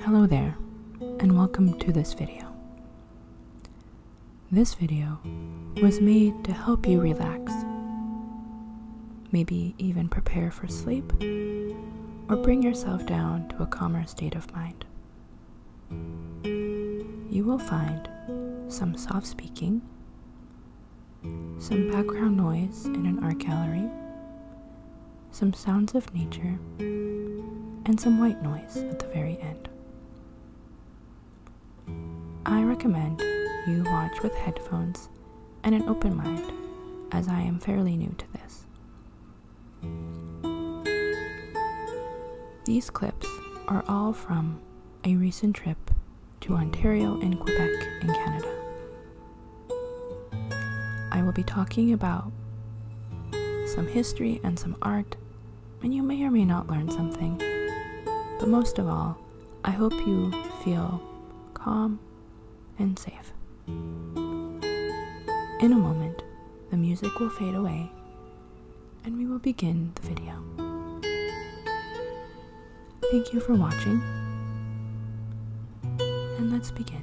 Hello there, and welcome to this video. This video was made to help you relax, maybe even prepare for sleep, or bring yourself down to a calmer state of mind. You will find some soft speaking, some background noise in an art gallery, some sounds of nature, and some white noise at the very end. I recommend you watch with headphones and an open mind, as I am fairly new to this. These clips are all from a recent trip to Ontario and Quebec in Canada. I will be talking about some history and some art, and you may or may not learn something. But most of all, I hope you feel calm and safe. In a moment, the music will fade away and we will begin the video. Thank you for watching, and let's begin.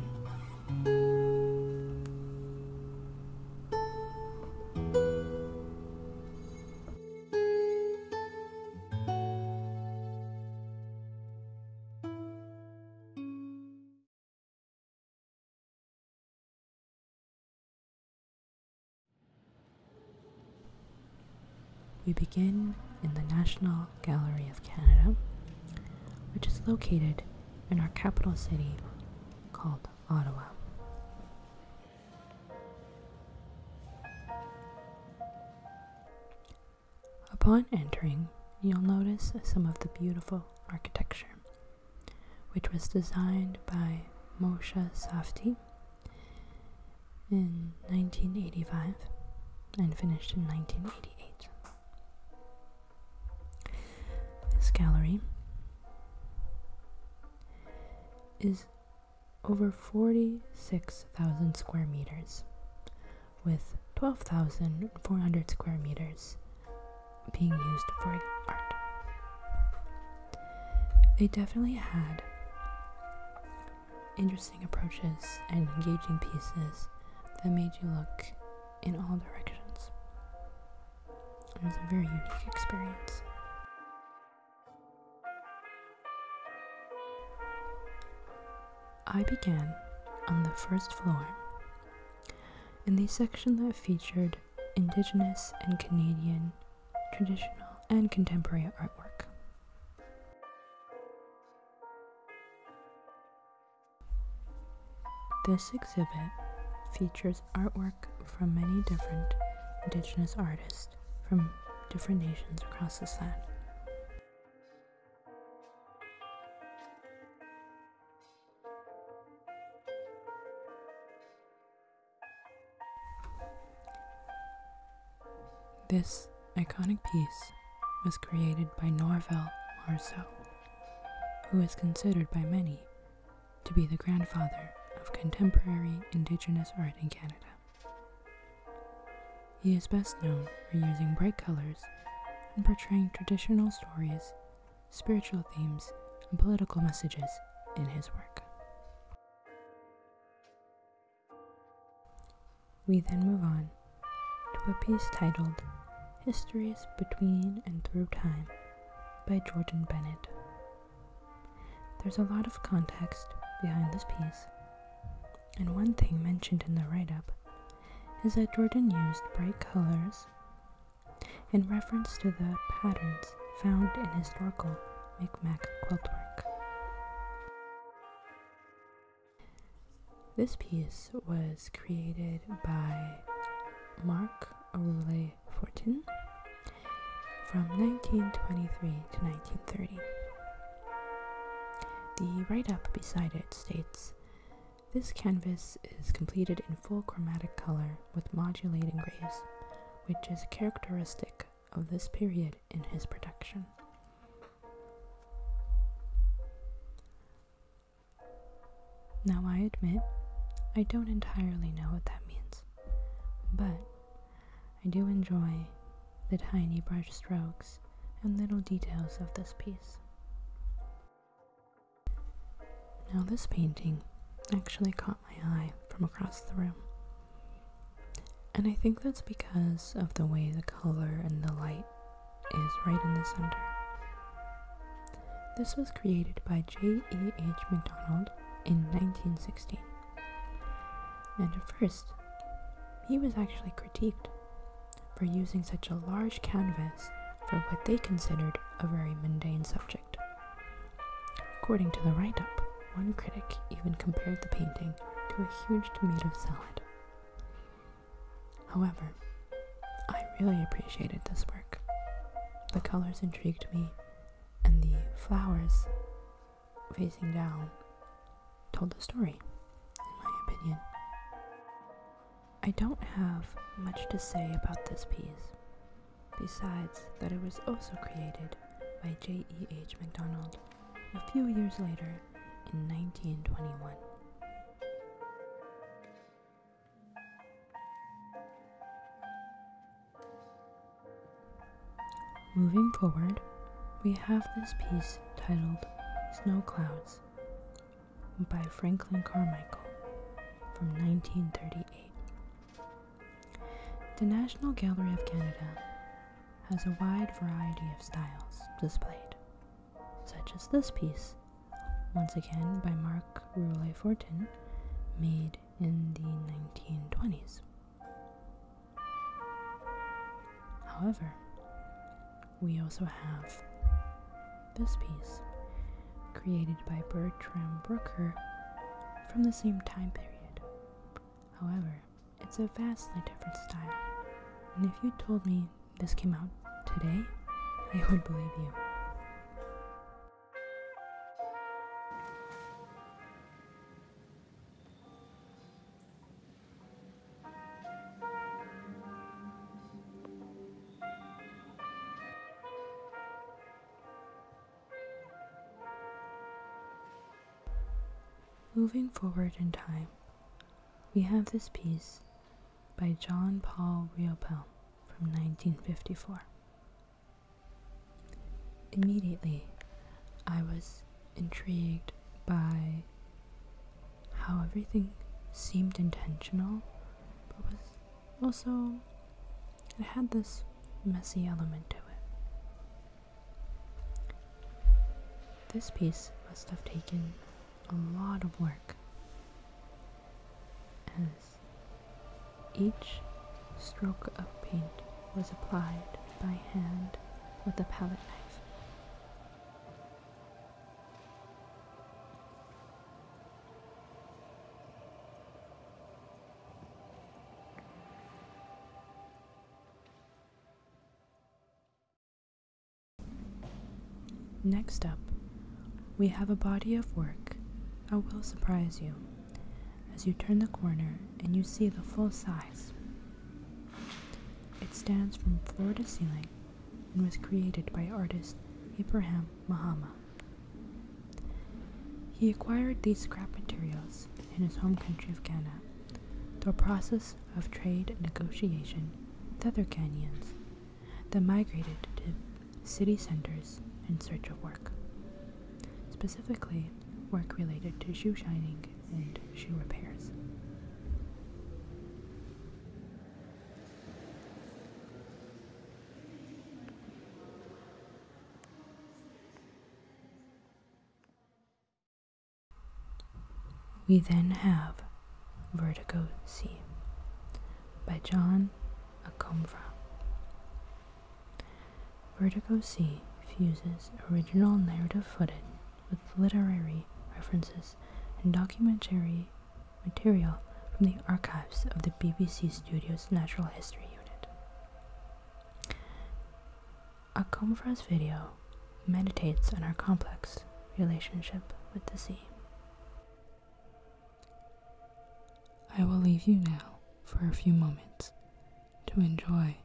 We begin in the National Gallery of Canada, which is located in our capital city called Ottawa. Upon entering, you'll notice some of the beautiful architecture, which was designed by Moshe Safdie in 1985 and finished in 1988. This gallery is over 46,000 square meters, with 12,400 square meters being used for art. They definitely had interesting approaches and engaging pieces that made you look in all directions. It was a very unique experience. I began on the first floor in the section that featured Indigenous and Canadian traditional and contemporary artwork. This exhibit features artwork from many different indigenous artists from different nations across the land. This iconic piece was created by Norval Marceau, who is considered by many to be the grandfather of contemporary Indigenous art in Canada. He is best known for using bright colors and portraying traditional stories, spiritual themes, and political messages in his work. We then move on to a piece titled Histories Between and Through Time by Jordan Bennett. There's a lot of context behind this piece, and one thing mentioned in the write up is that Jordan used bright colors in reference to the patterns found in historical Micmac quilt work. This piece was created by Mark Ole Fortin from 1923 to 1930. The write up beside it states This canvas is completed in full chromatic color with modulating grays, which is characteristic of this period in his production. Now, I admit, I don't entirely know what that means, but I do enjoy the tiny brush strokes and little details of this piece. Now, this painting actually caught my eye from across the room. And I think that's because of the way the color and the light is right in the center. This was created by J.E.H. MacDonald in 1916. And at first, he was actually critiqued for using such a large canvas for what they considered a very mundane subject. According to the write up, one critic even compared the painting to a huge tomato salad. However, I really appreciated this work. The colors intrigued me, and the flowers facing down told the story, in my opinion. I don't have much to say about this piece besides that it was also created by J.E.H. MacDonald a few years later in 1921. Moving forward, we have this piece titled Snow Clouds by Franklin Carmichael from 1938. The National Gallery of Canada has a wide variety of styles displayed, such as this piece, once again by Marc Roulet Fortin, made in the 1920s. However, we also have this piece, created by Bertram Brooker from the same time period. However, it's a vastly different style, and if you told me this came out today, I would believe you. Moving forward in time, we have this piece by John Paul Riopel from 1954. Immediately, I was intrigued by how everything seemed intentional but was also, it had this messy element to it. This piece must have taken a lot of work, as each stroke of paint was applied by hand with a palette knife. Next up, we have a body of work that will surprise you as you turn the corner and you see the full size. It stands from floor to ceiling and was created by artist Ibrahim Mahama. He acquired these scrap materials in his home country of Ghana through a process of trade negotiation with other canyons that migrated to city centers in search of work, specifically work related to shoe shining and shoe repairs. We then have Vertigo C by John Acomfra. Vertigo C fuses original narrative footage with literary references and documentary material from the archives of the BBC Studios Natural History Unit. A Comfras video meditates on our complex relationship with the sea. I will leave you now for a few moments to enjoy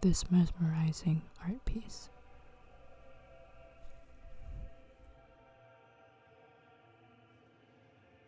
this mesmerizing art piece.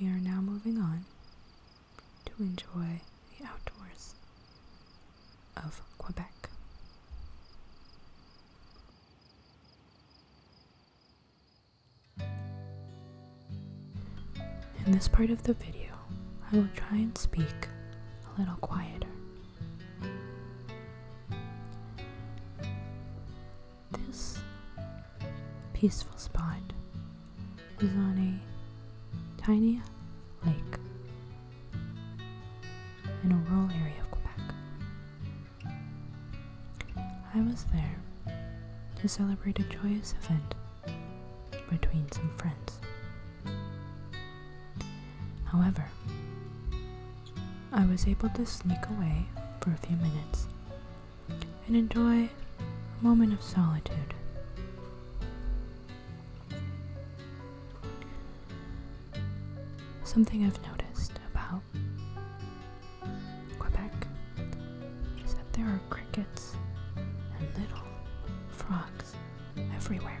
We are now moving on to enjoy the outdoors of Quebec. In this part of the video, I will try and speak a little quieter. This peaceful spot is on a tiny lake in a rural area of Quebec. I was there to celebrate a joyous event between some friends. However, I was able to sneak away for a few minutes and enjoy a moment of solitude. Something I've noticed about Quebec is that there are crickets and little frogs everywhere.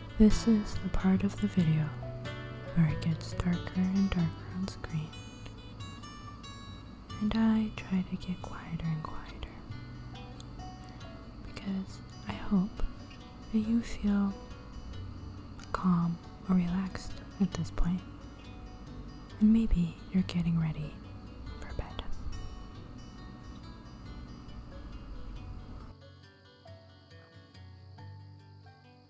This is the part of the video where it gets darker and darker on screen, and I try to get quieter and quieter because I hope that you feel calm or relaxed at this point, and maybe you're getting ready for bed.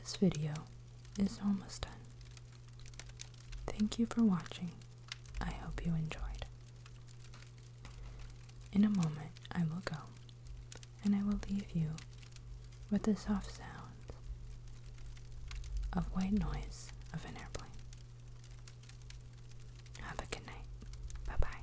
This video is almost done. Thank you for watching. I hope you enjoyed. In a moment, I will go, and I will leave you with the soft sound of white noise of an airplane. Have a good night. Bye bye.